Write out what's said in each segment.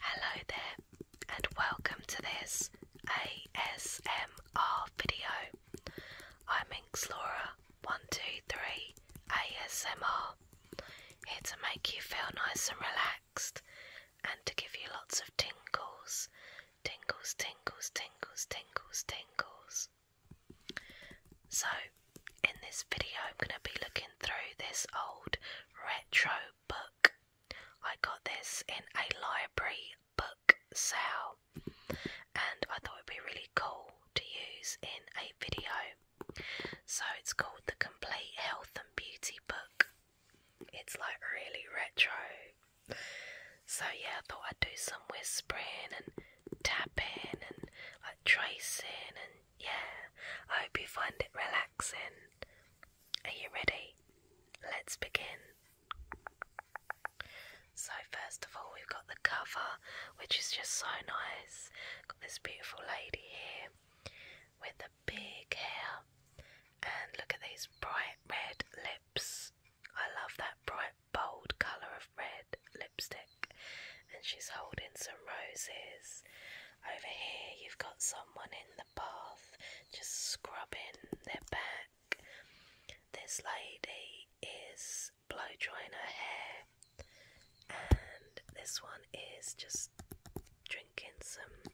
Hello there, and welcome to this ASMR video. I'm Inxlora123 ASMR, here to make you feel nice and relaxed and to give you lots of tingles. Tingles, tingles, tingles, tingles, tingles. So, in this video, I'm going to be looking through this old retro book. I got this in a library book sale, and I thought it'd be really cool to use in a video. So it's called the Complete Health and Beauty Book. It's like really retro. So yeah, I thought I'd do some whispering and tapping and like tracing and yeah, I hope you find it relaxing. Are you ready? Let's begin. So, first of all, we've got the cover, which is just so nice. Got this beautiful lady here with the big hair, and look at these bright red lips. I love that bright, bold colour of red lipstick and she's holding some roses. Over here, you've got someone in the bath just scrubbing their back. This lady is blow drying her hair, and this one is just drinking some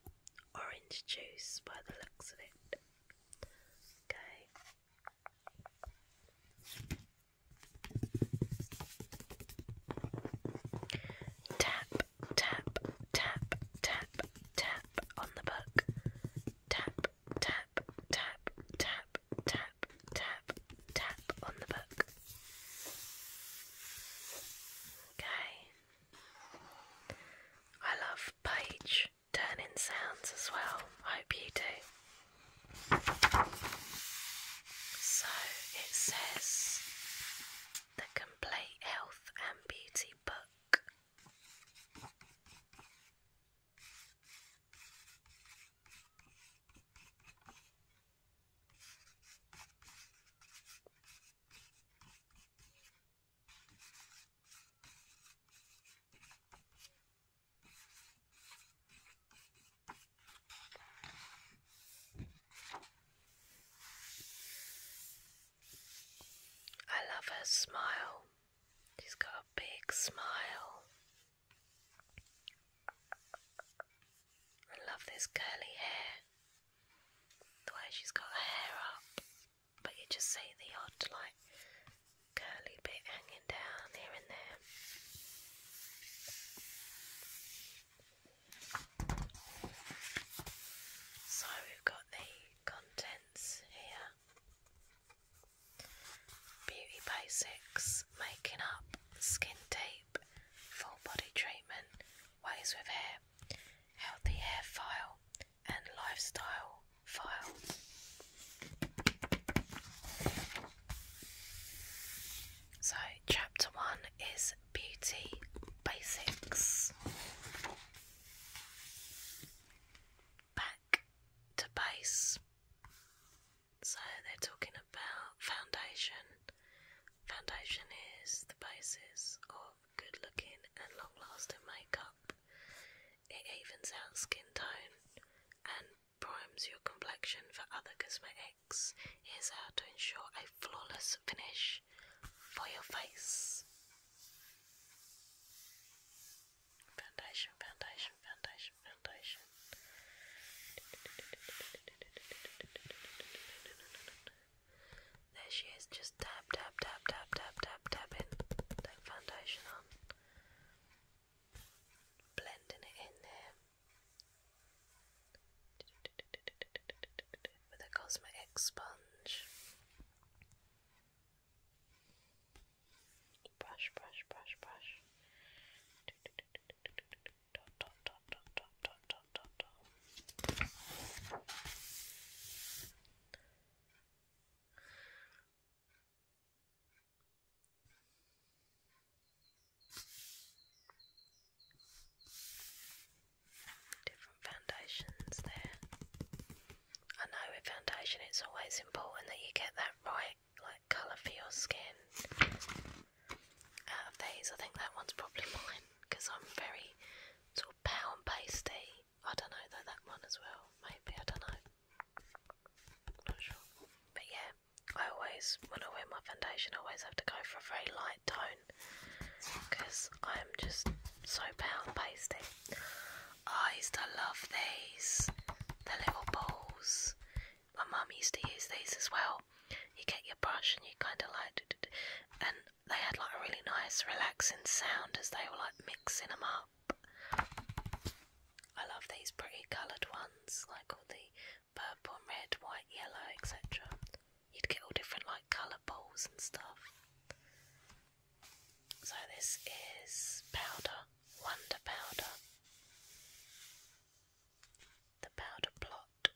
orange juice by the looks of it. Okay. Tap, tap, tap, tap, tap on the book. Tap, tap, tap, tap, tap, tap, tap on the book. Okay. I love page turning sounds as well. I hope you do. So it says the Complete Health and Beauty Book. I love her smile. She's got a big smile. I love this curly hair. The way she's got her hair up, but you just see the odd, like, curly bit hanging down here and there. So we've got the contents here. Beauty basics, making up, skin tape, full body treatment, ways with hair, healthy hair file, and lifestyle file. So, chapter one is beauty basics. Back to base. So, they're talking about foundation. Foundation is the basis of good looking and long lasting makeup. It evens out skin tone and primes your complexion for other cosmetics. is how to ensure a flawless finish for your face. Foundation, foundation, foundation, foundation. There she is, just tap, tap, tap, tap, tap, tap, tapping that foundation on, blending it in there with a cosmetic sponge. Brush, brush, brush, brush. Different foundations there. I know with foundation it's always important that you get that right like colour for your skin. Out of these, I think that one's probably mine because I'm very sort of pound pasty. I don't know though that one as well. Maybe I don't know. Not sure. But yeah, I always, when I wear my foundation, I always have to go for a very light tone because I'm just so pale and pasty. I used to love these, the little balls. My mum used to use these as well. You get your brush and you kind of like, and they had like a really nice, relaxing sound as they were like mixing them up. I love these pretty coloured ones, like all the purple and red, white, yellow, etc. You'd get all different like colour balls and stuff. So this is powder, wonder powder. The powder plot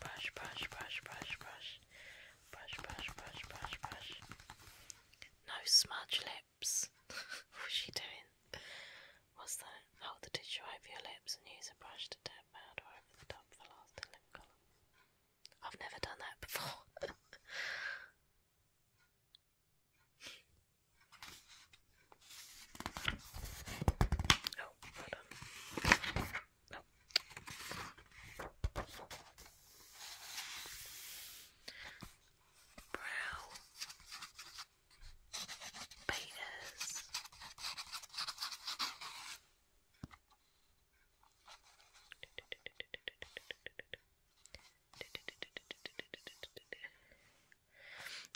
brush, brush, brush, brush, brush, brush, brush, brush, brush, brush. No smudge lips. What's she doing? What's that? Hold the tissue over your lips and use a brush to tap powder over the top for lasting lip colour. I've never done that before. Oh, Brow beaters.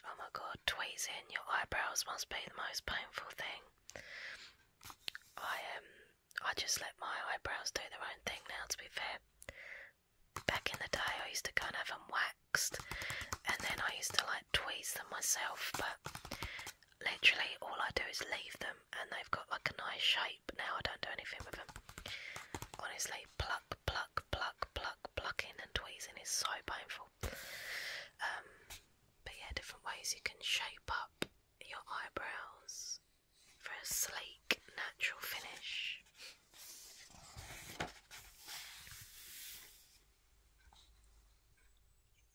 Oh my god, Twazing your eyebrows must be the most painful thing. I um I just let my eyebrows do their own thing now to be fair. Back in the day I used to go and have them waxed and then I used to like tweeze them myself but literally all I do is leave them and they've got like a nice shape now I don't do anything with them. Honestly, pluck, pluck, pluck, pluck, plucking and tweezing is so painful. Um, but yeah, different ways you can shape up your eyebrows for a sleek, natural finish.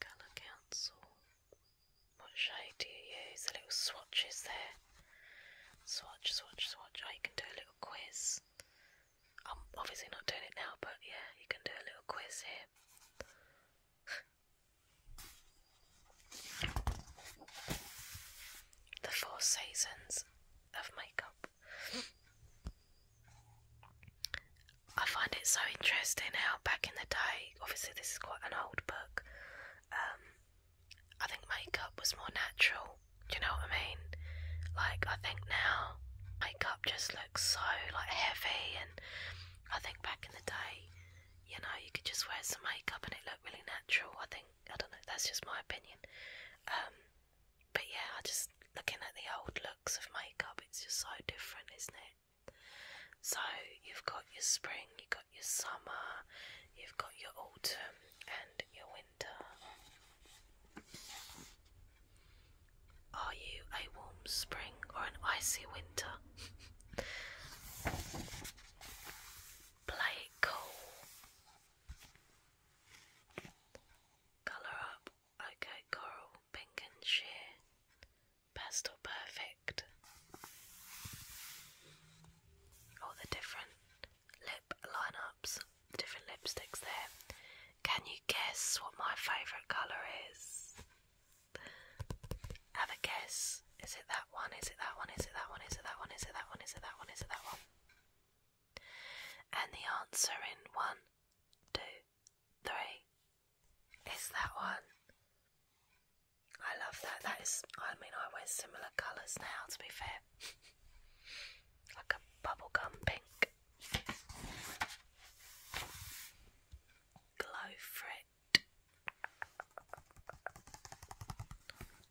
Colour Council. What shade do you use? The little swatches there. Swatch, swatch, swatch. I oh, can do a little quiz. I'm obviously not doing it now, but yeah, you can do a little quiz here. the Four Seasons of Makeup. I find it so interesting how back in the day, obviously, this is quite an old book, um, I think makeup was more natural. Do you know what I mean? Like, I think now makeup just looks so like heavy and I think back in the day, you know, you could just wear some makeup and it looked really natural. I think I don't know, that's just my opinion. Um, but yeah, I just looking at the old looks of makeup, it's just so different, isn't it? So you've got your spring, you've got your summer, you've got your autumn and your winter. Are you a warm spring or an icy winter? Play it cool. Colour up. Okay, coral, pink and sheer. Pastel perfect. All the different lip lineups, different lipsticks there. Can you you guess what my favourite colour is? Have a guess. Is it that one? Is it that one? Is it that one? Is it that one? Is it that one? Is it that one? Is it that one? And the answer in one, two, three is that one. I love that. That is, I mean, I wear similar colours now, to be fair. like a bubblegum pink. Glow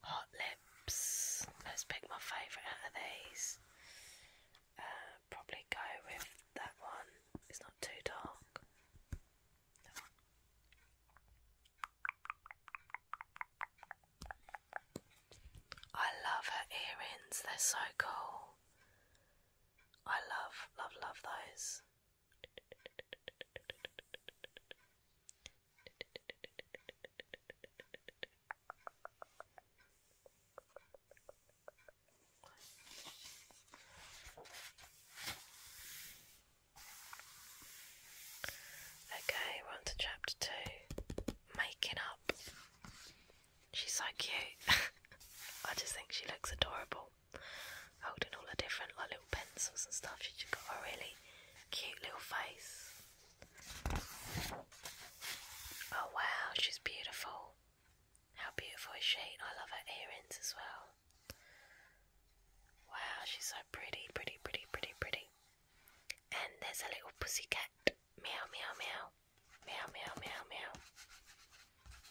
Hot Lips. Let's pick my favourite of these. Uh, probably go with that one. It's not too dark. I love her earrings, they're so cool. I love, love, love those. Okay, we're on to chapter two making up. She's so cute. I just think she looks adorable. Holding all the different like little pencils and stuff. She's got a really cute little face. Oh wow, she's beautiful. How beautiful is she? I love her earrings as well. Wow, she's so pretty, pretty, pretty, pretty, pretty. And there's a little pussycat. Meow, meow, meow. Meow, meow, meow, meow.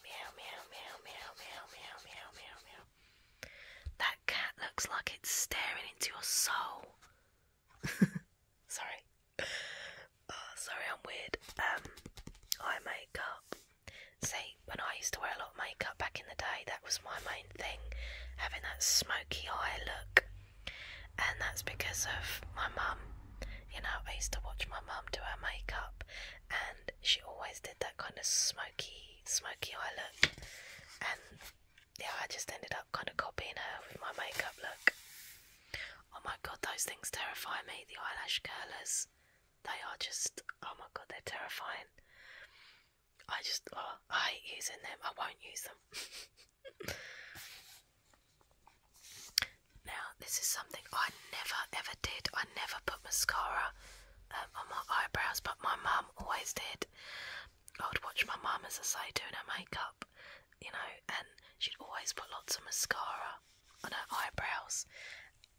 Meow, meow, meow, meow, meow, meow, meow, That cat looks like it's staring into your soul. sorry. Oh, sorry, I'm weird. Um, I make See, when I used to wear a lot of makeup back in the day, that was my main thing, having that smoky eye look. And that's because of my mum. You know, I used to watch my mum do her makeup, and she always did that kind of smoky, smoky eye look. And yeah, I just ended up kind of copying her with my makeup look. Oh my god, those things terrify me. The eyelash curlers, they are just oh my god, they're terrifying. I just oh, I hate using them. I won't use them. Now, this is something I never ever did. I never put mascara um, on my eyebrows, but my mum always did. I would watch my mum, as I say, doing her makeup, you know, and she'd always put lots of mascara on her eyebrows.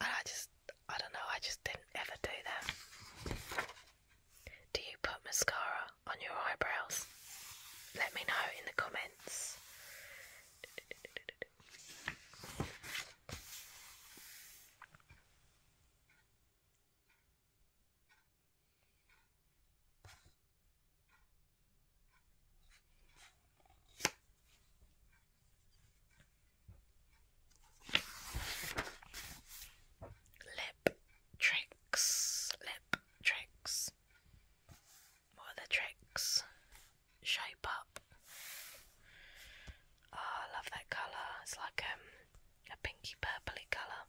And I just, I don't know, I just didn't ever do that. Do you put mascara on your eyebrows? Let me know in the comments. Lip tricks, lip tricks. What are the tricks? Shape up. Oh, love that colour. It's like um, a pinky purply colour.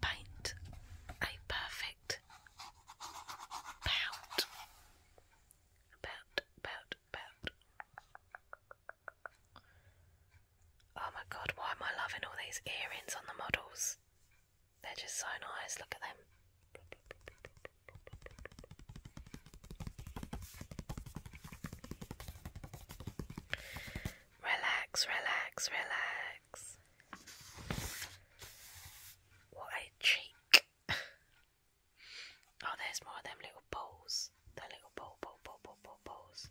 Paint a perfect pout. Pout, pout, pout. Oh my god, why am I loving all these earrings on the models? They're just so nice, look at them. Relax, relax, relax. What a cheek. oh, there's more of them little balls. The little bow, bow, bow, bow, bow, bows.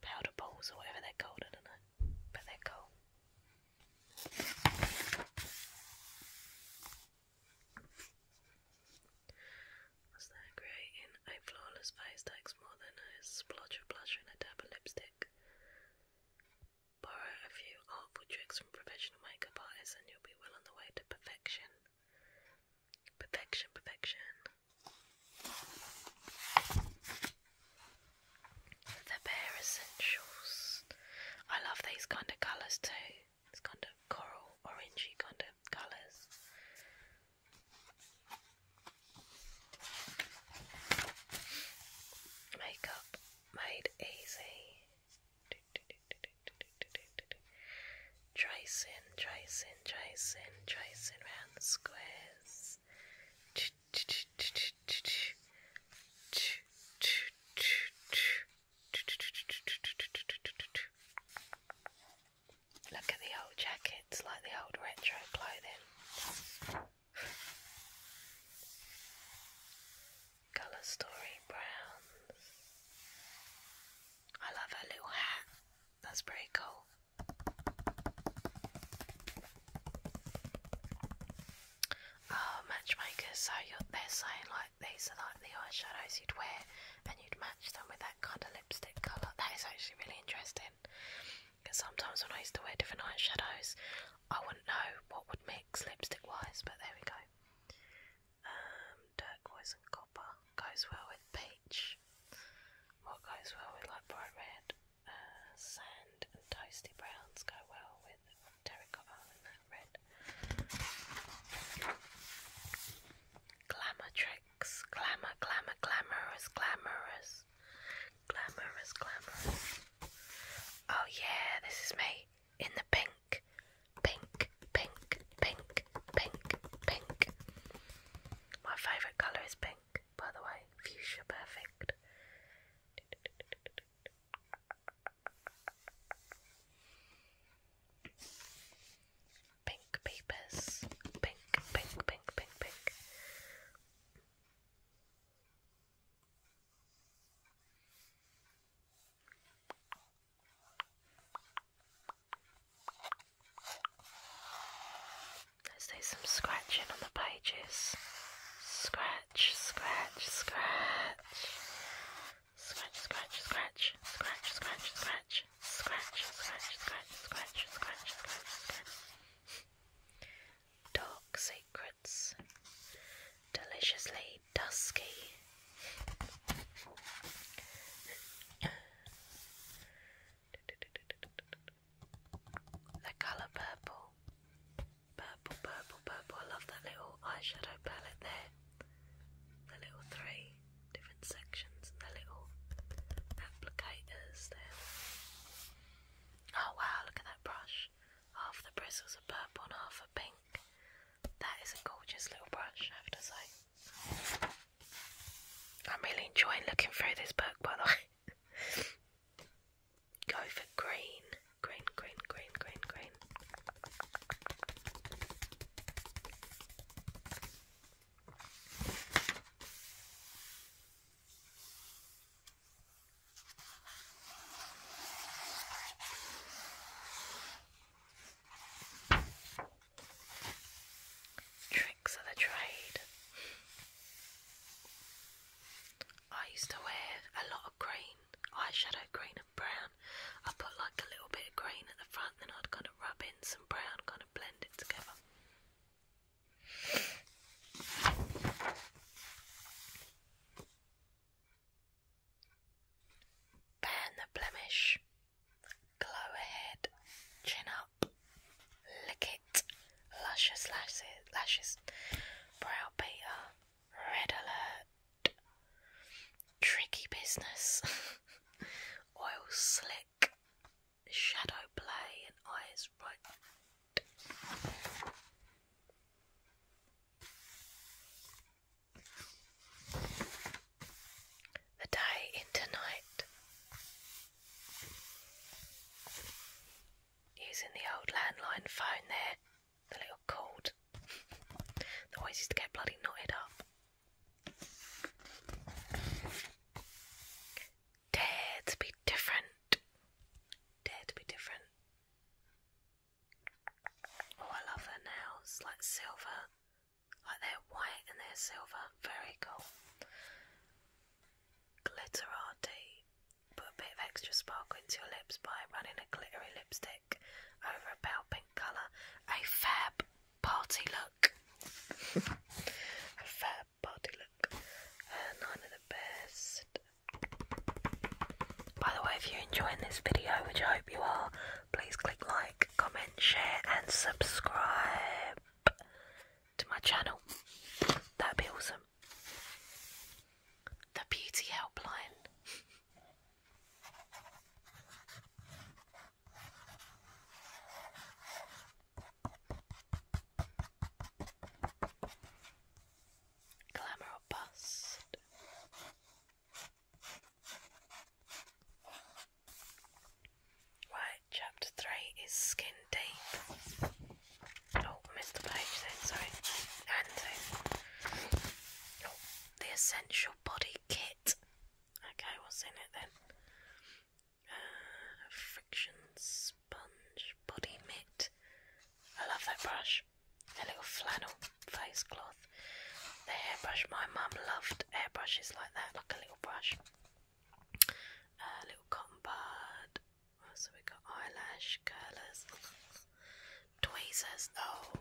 Powder bows or whatever they're called, I don't know. But they're cool. Was that creating a flawless face takes more than a splotch of blush and a dab of lipstick? Borrow a few artful tricks from professional makeup artists and you'll be well on the way to perfection. Perfection, perfection. The Bare Essentials. I love these kind of colours too. It's kind of coral, orangey kind of colours. Makeup made easy tracing, tracing, tracing, tracing round the squares. Look at the old jackets, like the old retro clothing. Colour story browns. I love her little hat. That's pretty cool. Oh, matchmakers, so they're saying like these are like the eyeshadows you'd wear and you'd match them with that kind of lipstick colour. That is actually really interesting. Because sometimes when I used to wear different eyeshadows, I wouldn't know what would mix lipstick wise, but there we go. Um, Dirk Voice and Copper goes well with peach. What goes well with like bright red? Uh, sand and toasty browns go well with terracotta and that red. Glamour tricks. Glamour, glamour, glamorous, glamorous. Glamorous, glamorous. Oh yeah, this is me in the pink. Pink, pink, pink, pink, pink. My favourite colour is pink, by the way. Fuchsia perfect. Pink peepers. Pink, pink, pink, pink, pink. Let's do some scratching on the pages. Scratch, scratch, scratch. Scratch, scratch, scratch. Scratch, scratch, scratch. Scratch, scratch, scratch, scratch, scratch, scratch, scratch. Dark secrets. Deliciously dusky. The colour purple. Purple, purple, purple. I love that little eyeshadow palette there. The little three different sections and the little applicators there. Oh wow, look at that brush. Half the bristles are purple and half are pink. That is a gorgeous little brush, I have to say. I'm really enjoying looking through this book, by the way. Go for green, green, green, green, green, green. Tricks of the trade. I used to wear a lot of green, eyeshadow green and brown. I put like a little bit of green at the front, then I'd kind of rub in some brown, kind of blend it together. Ban the blemish. Glow ahead, chin up, lick it, luscious lashes, lashes, brow beater, red alert, tricky business, oil slick, shadow play, and eyes right the day into night. Using the old landline phone there, the little cord that always used to get bloody knotted up. Dare to be different. Dare to be different. Oh, I love her nails, like silver like they're white and they're silver. Very cool. Glitterati. Put a bit of extra sparkle into your lips by running a glittery lipstick over a pale pink colour. A fab party look. a fab party look. Uh, nine of the best. By the way, if you're enjoying this video, which I hope you are, please click like, comment, share, and subscribe to my channel. That'd be awesome. The Beauty Helpline. Glamour bust. Right, chapter three is skin deep. Oh, missed the page then, sorry. Oh, the essential body kit. Okay, what's in it then? Uh, friction sponge, body mitt. I love that brush. A little flannel face cloth. The hairbrush my mum loved soft airbrushes like that, like a little brush. A little cotton bud. What have got? Eyelash curlers, tweezers. Oh,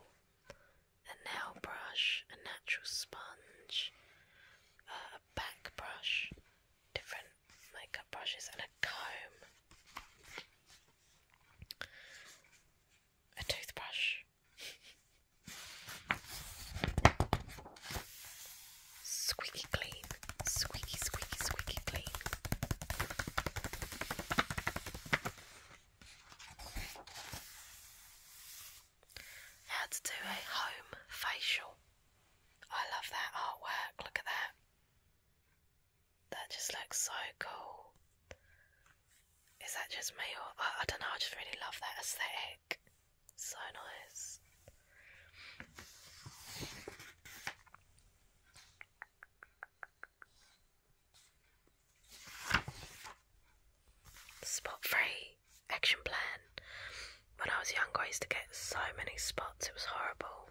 a nail brush, a natural sponge, a back brush, different makeup brushes, and a comb. A toothbrush. Squeaky clean. Squeaky, squeaky, squeaky clean. How to do a home facial. I love that artwork. Look at that. That just looks so cool. Is that just me or I, I don't know? I just really love that aesthetic. So nice. Spot free action plan. When I was younger, I used to get so many spots, it was horrible.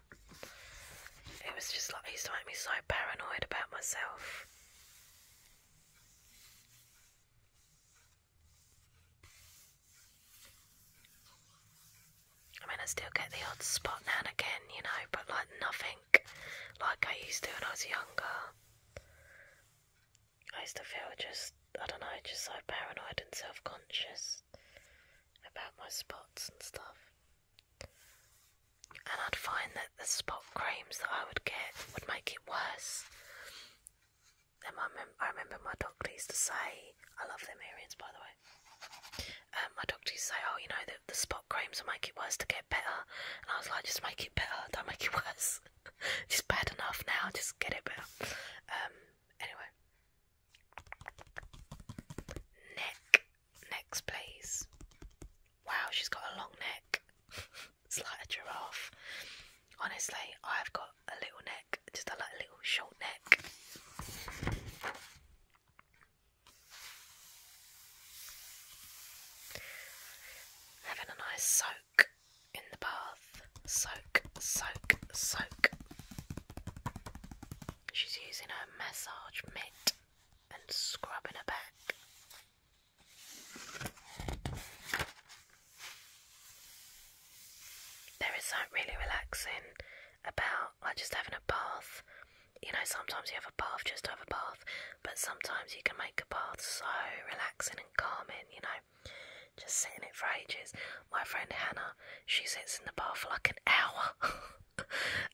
It was just like, it used to make me so paranoid about myself. I mean, I still get the odd spot now and again, you know, but like nothing like I used to when I was younger. I used to feel just, I don't know, i just so paranoid and self conscious about my spots and stuff. And I'd find that the spot creams that I would get would make it worse. And my I remember my doctor used to say, I love them earrings by the way. Um, my doctor used to say, oh, you know, the, the spot creams will make it worse to get better. And I was like, just make it better, don't make it worse. just bad enough now, just get it better. Um, anyway. Neck. Next, please. Wow, she's got a long neck. It's like a giraffe. Honestly, I've got a little neck, just a like a little short neck. Having a nice soak in the bath. Soak, soak, soak. She's using her massage mitt and scrubbing her back. There is something really relaxing about like just having a bath. You know, sometimes you have a bath just to have a bath, but sometimes you can make a bath so relaxing and calming, you know. Just sitting in it for ages. My friend Hannah, she sits in the bath for like an hour.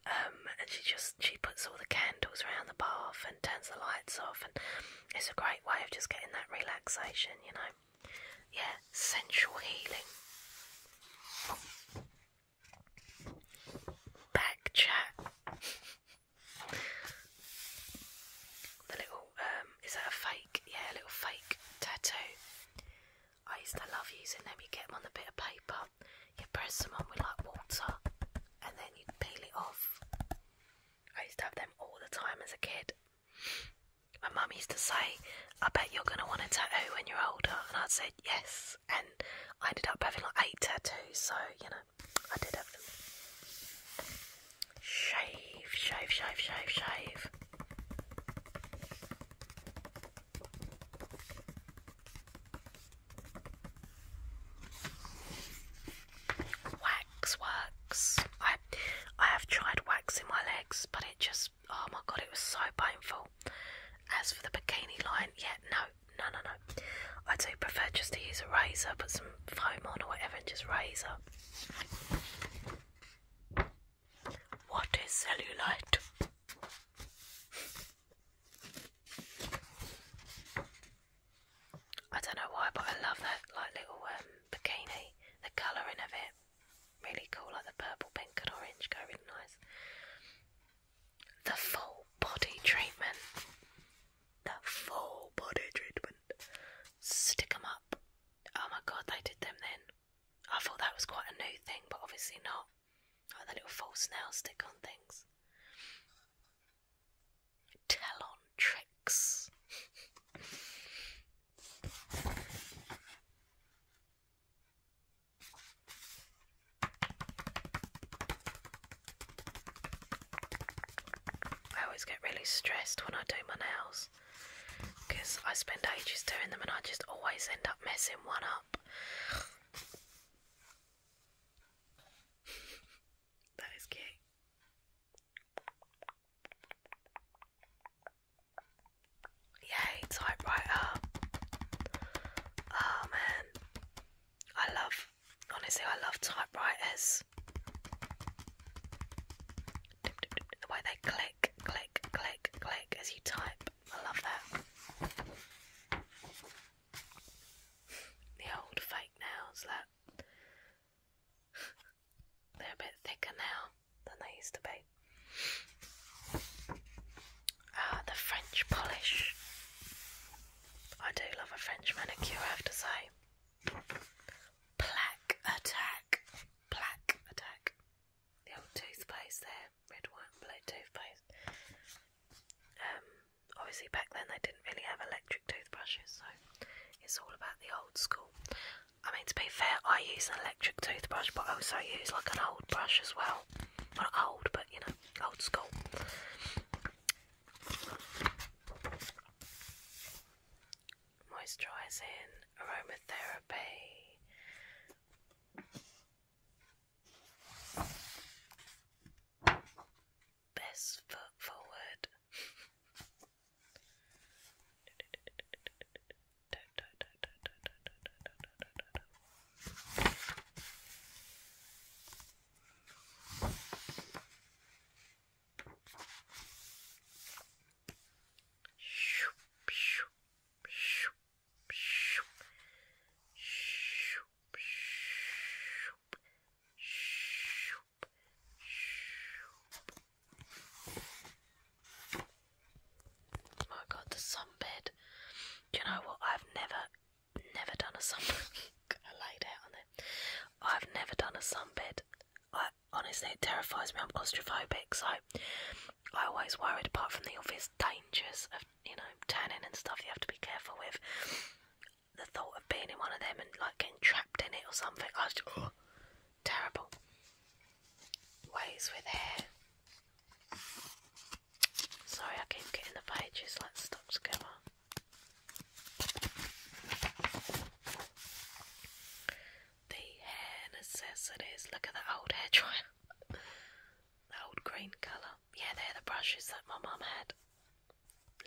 Um, and she just she puts all the candles around the bath and turns the lights off and it's a great way of just getting that relaxation, you know. Yeah, sensual healing. Back chat. The little, um, is that a fake? Yeah, a little fake tattoo. I used to love using them. You get them on a bit of paper, you press them on with like water, and then you peel it off. I used to have them all the time as a kid. My mum used to say, I bet you're going to want a tattoo when you're older. And I said, yes. And I ended up having like eight tattoos. So, you know, I did have them. Shave, shave, shave, shave, shave wax works. I I have tried waxing my legs, but it just oh my god, it was so painful. As for the bikini line, yeah, no, no, no, no. I do prefer just to use a razor, put some foam on or whatever, and just razor. What is cellulite? I don't know why, but I love that like little um, bikini. The colouring of it, really cool, like the purple, pink, and orange go really nice. The full body treatment. The full body treatment. Stick 'em up. Oh my god, they did them then. I thought that was quite a new thing, but obviously not. Like the little false nail stick on things. Tell on tricks. I always get really stressed when I do my nails because I spend ages doing them and I just always end up messing one up. that is cute. Yay, typewriter. Oh man. I love, honestly, I love typewriters. The way they click, click, click, click as you type. I love that. The old fake nails, that. They're a bit thicker now than they used to be. Ah, the French polish. I do love a French manicure, I have to say. Plaque attack. Plaque attack. The old toothpaste there, red, white, blue toothpaste. Um, obviously back then they didn't really have electric toothbrushes, so it's all about the old school. I mean, to be fair, I use an electric toothbrush, but I also use like an old brush as well. not old, but you know, old school. Moisturising, aromatherapy best foot forward. Shoop, shoop, shoop, shoop, shoop, shoop, shoop, my god, the sunbed. Do you know what? I've never, never done a sunbed. I laid out on it. I've never done a sunbed. I honestly, it terrifies me. I'm claustrophobic, so I always worried. Apart from the obvious dangers of you know turning and stuff, you have to be careful with the thought of being in one of them and like getting trapped in it or something, I just, oh, terrible. Ways with hair. Sorry, I keep getting the pages like stuck together. The hair necessities. Look at that old hair dryer. the old green colour. Yeah, they're the brushes that my mum had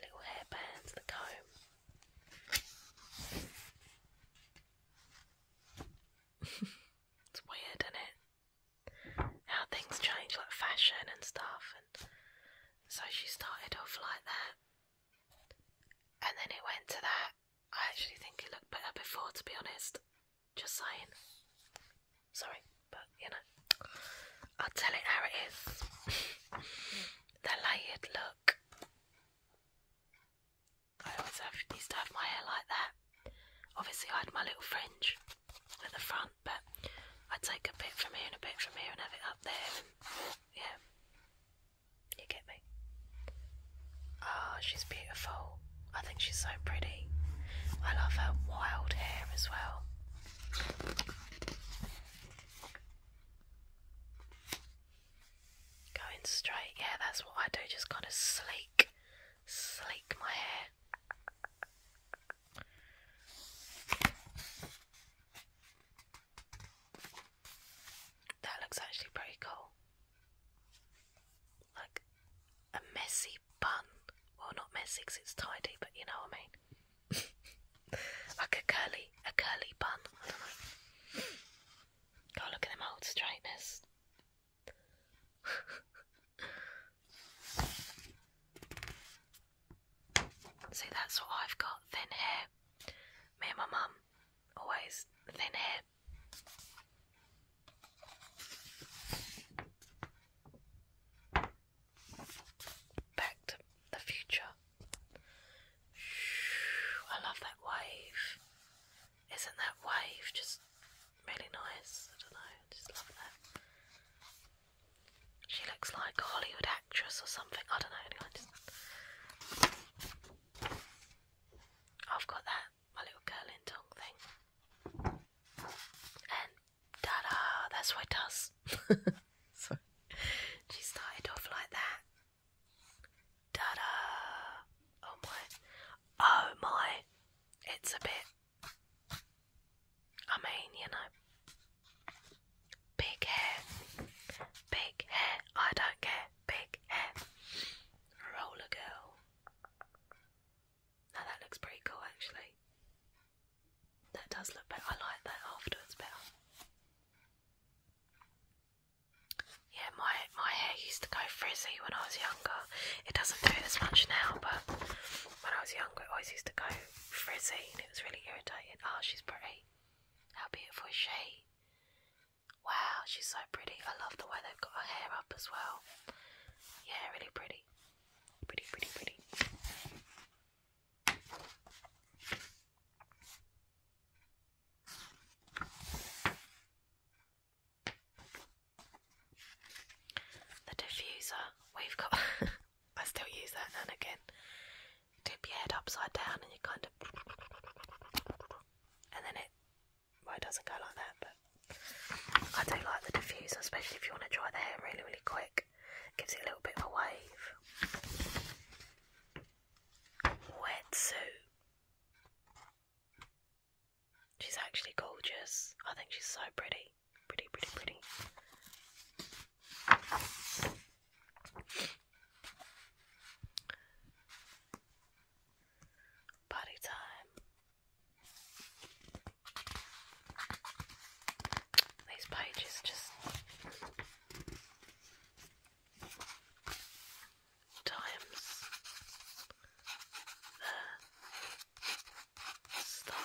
little hairbands, the comb. it's weird, isn't it? How things change, like fashion and stuff. And so she started off like that, and then it went to that. I actually think it looked better before, to be honest. Just saying. Sorry, but you know. I'll tell you how it is. the layered look. I always have, to have my hair like that. Obviously, I had my little fringe at the front, but I would take a bit from here and a bit from here and have it up there. And, yeah, you get me. Oh, she's beautiful. I think she's so pretty. I love her wild hair as well. Going straight, yeah, that's what I do, just kind of sleek, sleek my hair. That looks actually pretty cool. Like a messy bun. Well, not messy because it's tidy, but you know what I mean. like a curly, a curly bun. I don't know. look at them old straightness. See, that's what I've got. Thin hair. Me and my mum always thin hair. Back to the future. I love that wave. Isn't that wave just really nice? I don't know, I just love that. She looks like a Hollywood actress or something. I don't know. Anyway, just... I've got that my little curling tongue thing, and ta-da! That's what it does. she started off like that. Da Oh my! Oh my! It's a bit. I mean, you know, big hair, big hair. I don't care. Big hair. Roller girl. Now that looks pretty cool, actually. That does look better. I like that afterwards better. Yeah, my my hair used to go frizzy when I was younger. It doesn't do it as much now, but when I was younger, it always used to go frizzy, and it was really irritating. Oh, she's pretty. How beautiful is she? Wow, she's so pretty. I love the way they've got her hair up as well. Yeah, really pretty. Pretty, pretty, pretty. The diffuser, we've got. I still use that now and again. You your head upside down and you kind of. And then it. Well, it doesn't go like that, but. I do like the diffuser, especially if you want to dry the hair really, really quick gives it a little bit of a wave. Wet suit. She's actually gorgeous. I think she's so pretty. Pretty, pretty, pretty. Party time. These pages just times the style.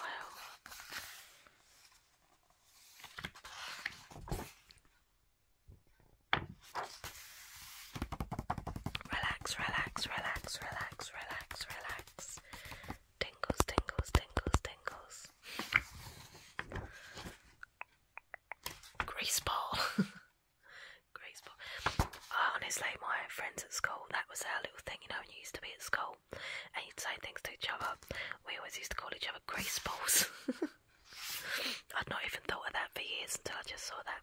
Relax, relax, relax, relax, relax, relax. Tingles, tingles, tingles, tingles. Grace ball. grace ball. honestly, my friends at school, that was our little thing, you know, when you used to be at school and you'd say things to each other. We always used to call each other grace balls. I'd not even thought of that for years until I just saw that.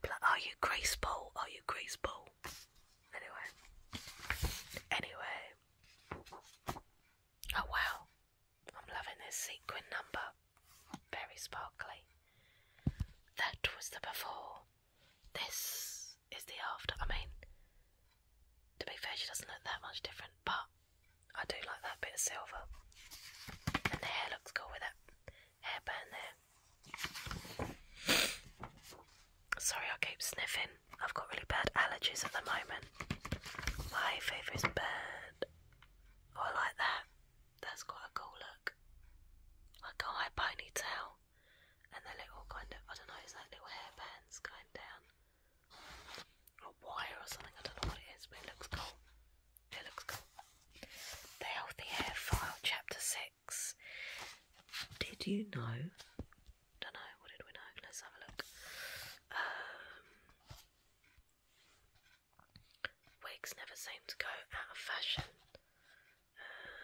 Be like, are you grace ball? Are you grace ball? Anyway. Anyway. Oh well, I'm loving this sequin number. Very sparkly. That was the before. This is the after. I mean, to be fair, she doesn't look that much different, but I do like that bit of silver. And the hair looks cool with that hair hairband there. Sorry, I keep sniffing. I've got really bad allergies at the moment. My favourite is bird. Oh, I like that. That's quite a cool look. Like a high ponytail. And the little kind of, I don't know, it's like little hairbands going down. Or wire or something, I don't know what it is, but it looks cool. It looks cool. The Healthy Hair File, Chapter 6. Did you know don't know. What did we know? Let's have a look. Um, wigs never seem to go out of fashion. Uh,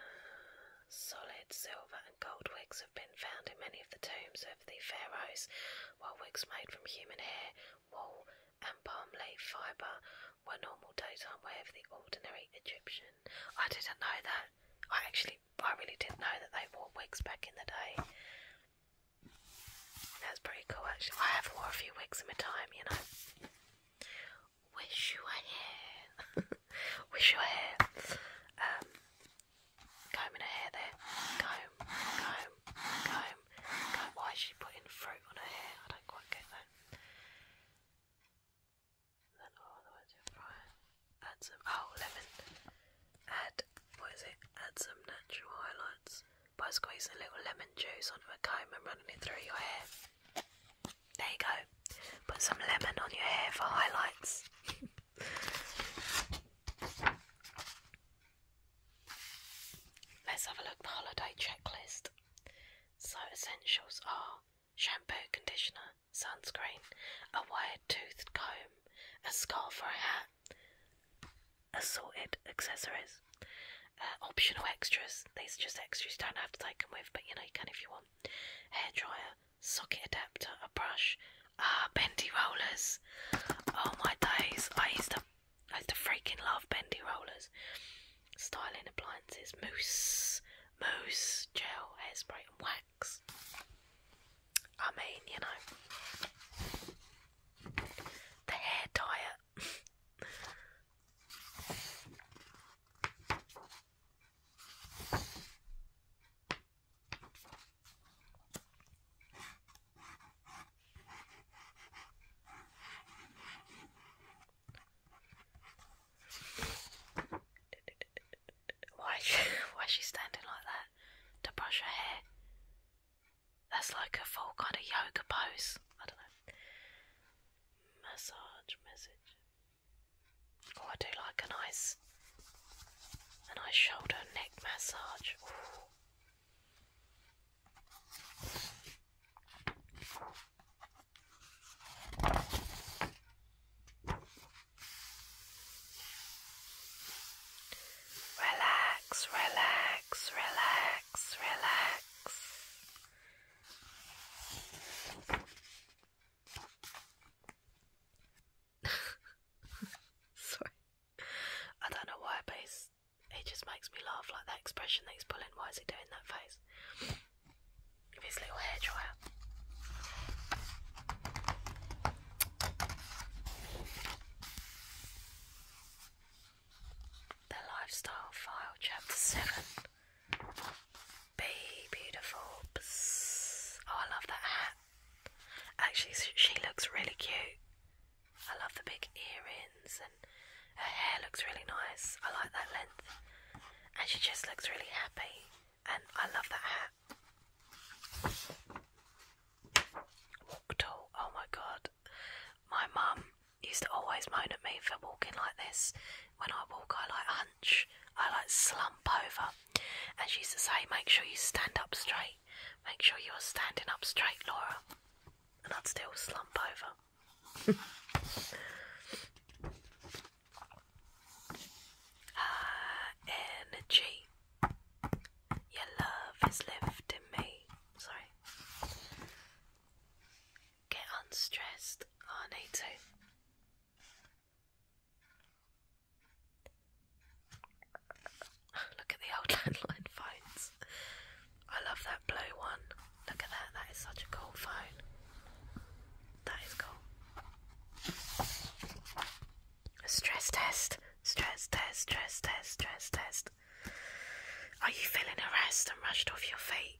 solid silver and gold wigs have been found in many of the tombs of the pharaohs, while wigs made from human hair, wool, and palm leaf fibre were normal daytime wear of the ordinary Egyptian. I didn't know that. I actually I really didn't know that they wore wigs back in the day. That's pretty cool, actually. I have wore a few wigs in my time, you know. Wish you were here. Wish you were here. Um, combing her hair there. Comb, comb, comb, Why is she putting fruit on her hair? I don't quite get that. Then all the way to right add some, oh, lemon, add, what is it, add some natural highlights by squeezing a little lemon juice onto a comb and running it through your hair. There you go, put some lemon on your hair for highlights. Let's have a look the holiday checklist. So essentials are shampoo, conditioner, sunscreen, a wire-toothed comb, a scarf or a hat, assorted accessories, uh, optional extras. These are just extras you don't have to take them with, but you know you can if you want. Hair dryer, socket adapter, a brush. Ah, bendy rollers. Oh my days! I used to, I used to freaking love bendy rollers. Styling appliances, mousse, mousse, gel, hairspray, and wax. I mean, you know, the hair diet. Why? Why is she standing like that to brush her hair? That's like a full kind of yoga pose. I don't know. Massage message. Oh, I do like a nice, a nice shoulder neck massage. Relax, relax, relax, relax. Sorry. I don't know why, but it just makes me laugh. Like that expression that he's pulling. Why is he doing that face? With his little hair dryer. The Lifestyle File, Chapter 7. Be beautiful. Oh, I love that hat. Actually, she looks really cute. I love the big earrings and her hair looks really nice. I like that length. And she just looks really happy and I love that hat. Walk tall. Oh my god. My mum used to always moan at me for walking like this. When I walk, I like hunch, I like slump over. And she used to say, Make sure you stand up straight. Make sure you're standing up straight, Laura. And I'd still slump over. energy. Your love is lifting me. Sorry. Get unstressed, Arnato. Oh, Look at the old landline phones. I love that blue one. Look at that, that is such a cool phone. That is cool. Stress test, stress test, stress test, stress test. Are you feeling harassed and rushed off your feet?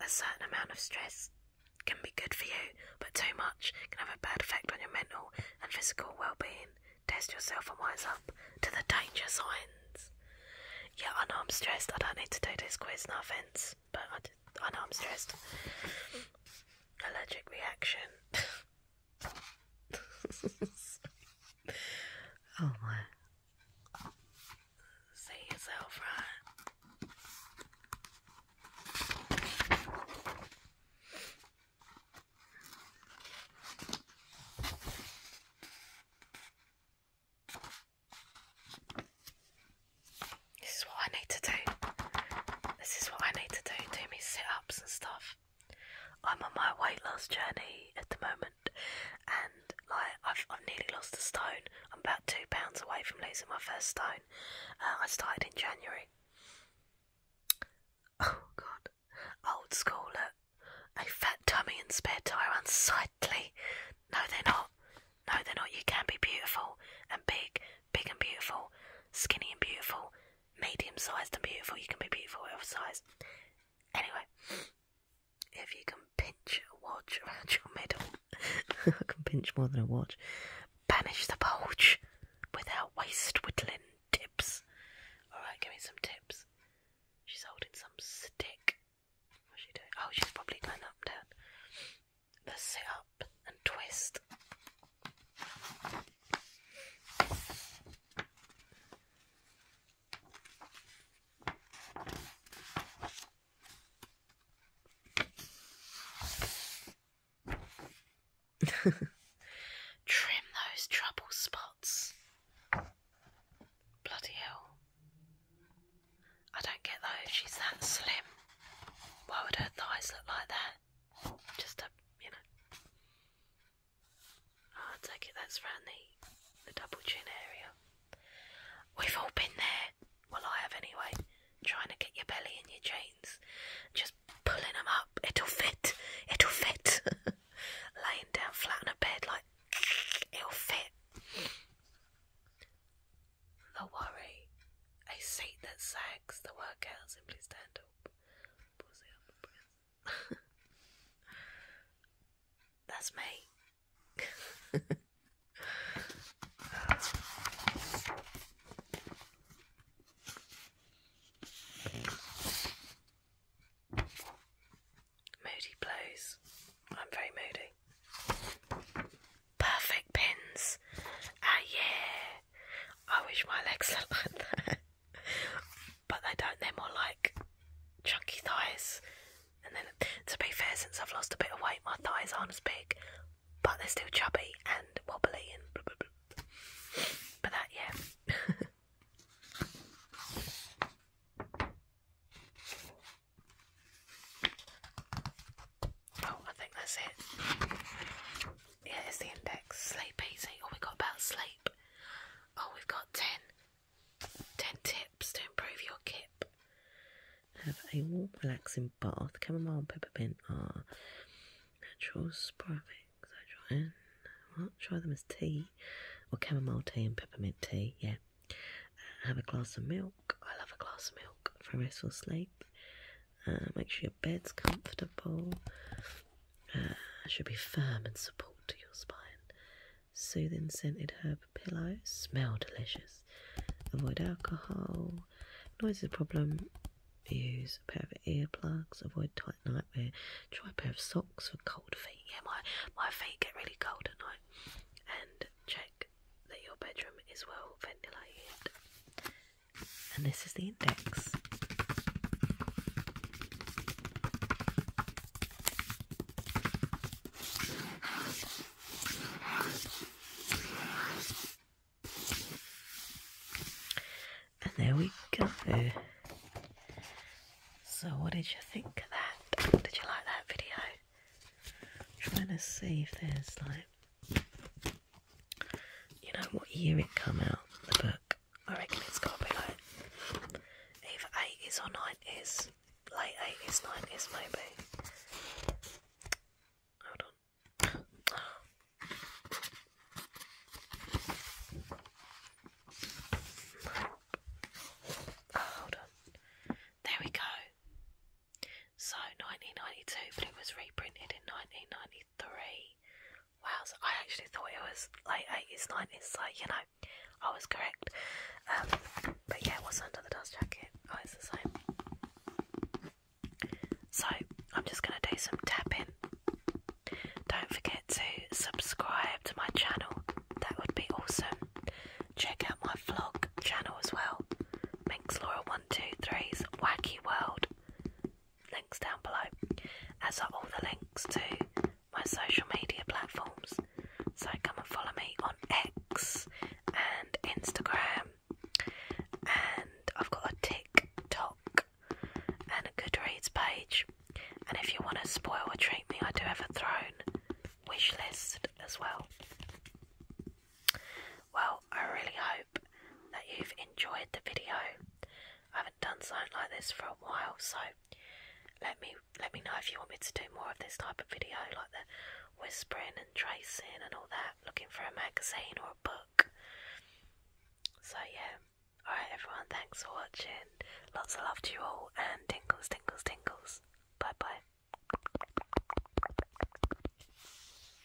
A certain amount of stress can be good for you, but too much can have a bad effect on your mental and physical well being. Test yourself and wise up to the danger signs. Yeah, I know I'm stressed. I don't need to do this quiz, no offence, but I, I know I'm stressed. Allergic reaction. oh my. See yourself right. This is to do. This is what I need to do. Do me sit ups and stuff. I'm on my weight loss journey at the moment, and like I've, I've nearly lost a stone. I'm about two pounds away from losing my first stone. Uh, I started in January. Oh God, old school. A fat tummy and spare tyre unsightly. No, they're not. No, they're not. You can be beautiful and big big and beautiful, skinny and beautiful, medium sized and beautiful. You can be beautiful whatever size. Anyway, if you can pinch a watch around your middle, I can pinch more than a watch. Banish the bulge without waist whittling tips. Alright, give me some tips. She's holding some stick. What's she doing? Oh, she's probably going up and down. Let's sit up and twist. Trim those trouble spots. Bloody hell. I don't get those. She's that slim. Why would her thighs look like that? just a you know. Oh, I take it that's round the the double chin area. We've all been there. Well, I have anyway. Trying to get your belly in your jeans, just pulling them up. It'll fit. It'll fit. Laying down flat on a bed like it'll fit. The worry I say that Zags, the workout, simply stand up. That's me. moody blows. I'm very moody. Perfect pins. Ah, yeah. I wish my legs looked like that. but they don't, they're more like chunky thighs. And then, to be fair, since I've lost a bit of weight, my thighs aren't as big, but they're still chubby and wobbly and blah, blah, But that, yeah. Oh, I think that's it. Yeah, it's the index. Sleep easy. Oh, we got about sleep. Oh, we've got 10. 10 tips to improve your kip. Have a warm, relaxing bath. Chamomile and peppermint are natural sporadics. I try in. Well, try them as tea or chamomile tea and peppermint tea. Yeah. Uh, have a glass of milk. I love a glass of milk for restful sleep. Uh, make sure your bed's comfortable. Uh, should be firm and support to your spine. Soothing scented herb pillows. Smell delicious. Avoid alcohol. Noise is a problem. Use a pair of earplugs. Avoid tight nightwear. Try a pair of socks for cold feet. Yeah, my, my feet get really cold at night. And check that your bedroom is well ventilated and this is the index. And there we go. So, what did you think of that? Did you like that video? trying to see if there's like you know what year it come out, the book. I reckon it's gotta be like either eighties or nineties. Late eighties, nineties maybe. Hold on. hold on. There we go. So 1992, but it was reprinted in 1993 three. Wow, I actually thought it was like eighties, It's like you know, I was correct. Um, but yeah, what's under the dust jacket? Oh, it's the same. So I'm just gonna do some tapping. Don't forget to subscribe to my channel, that would be awesome. Check out my vlog channel as well. Minx Laura 123's Wacky World links down below, as are all the links to my social media platforms. So come and follow me on X and Instagram, and I've got a TikTok and a Goodreads page. And if you want to spoil or treat me, I do have a throne wish list as well. Well, I really hope that you've enjoyed the video. I haven't done something like this for a while, so let me let me know if you want me to do more of this type of video, like the whispering and tracing and all that, looking for a magazine or a book. So yeah. Alright everyone, thanks for watching. Lots of love to you all and tingles, tingles, tingles. Bye bye.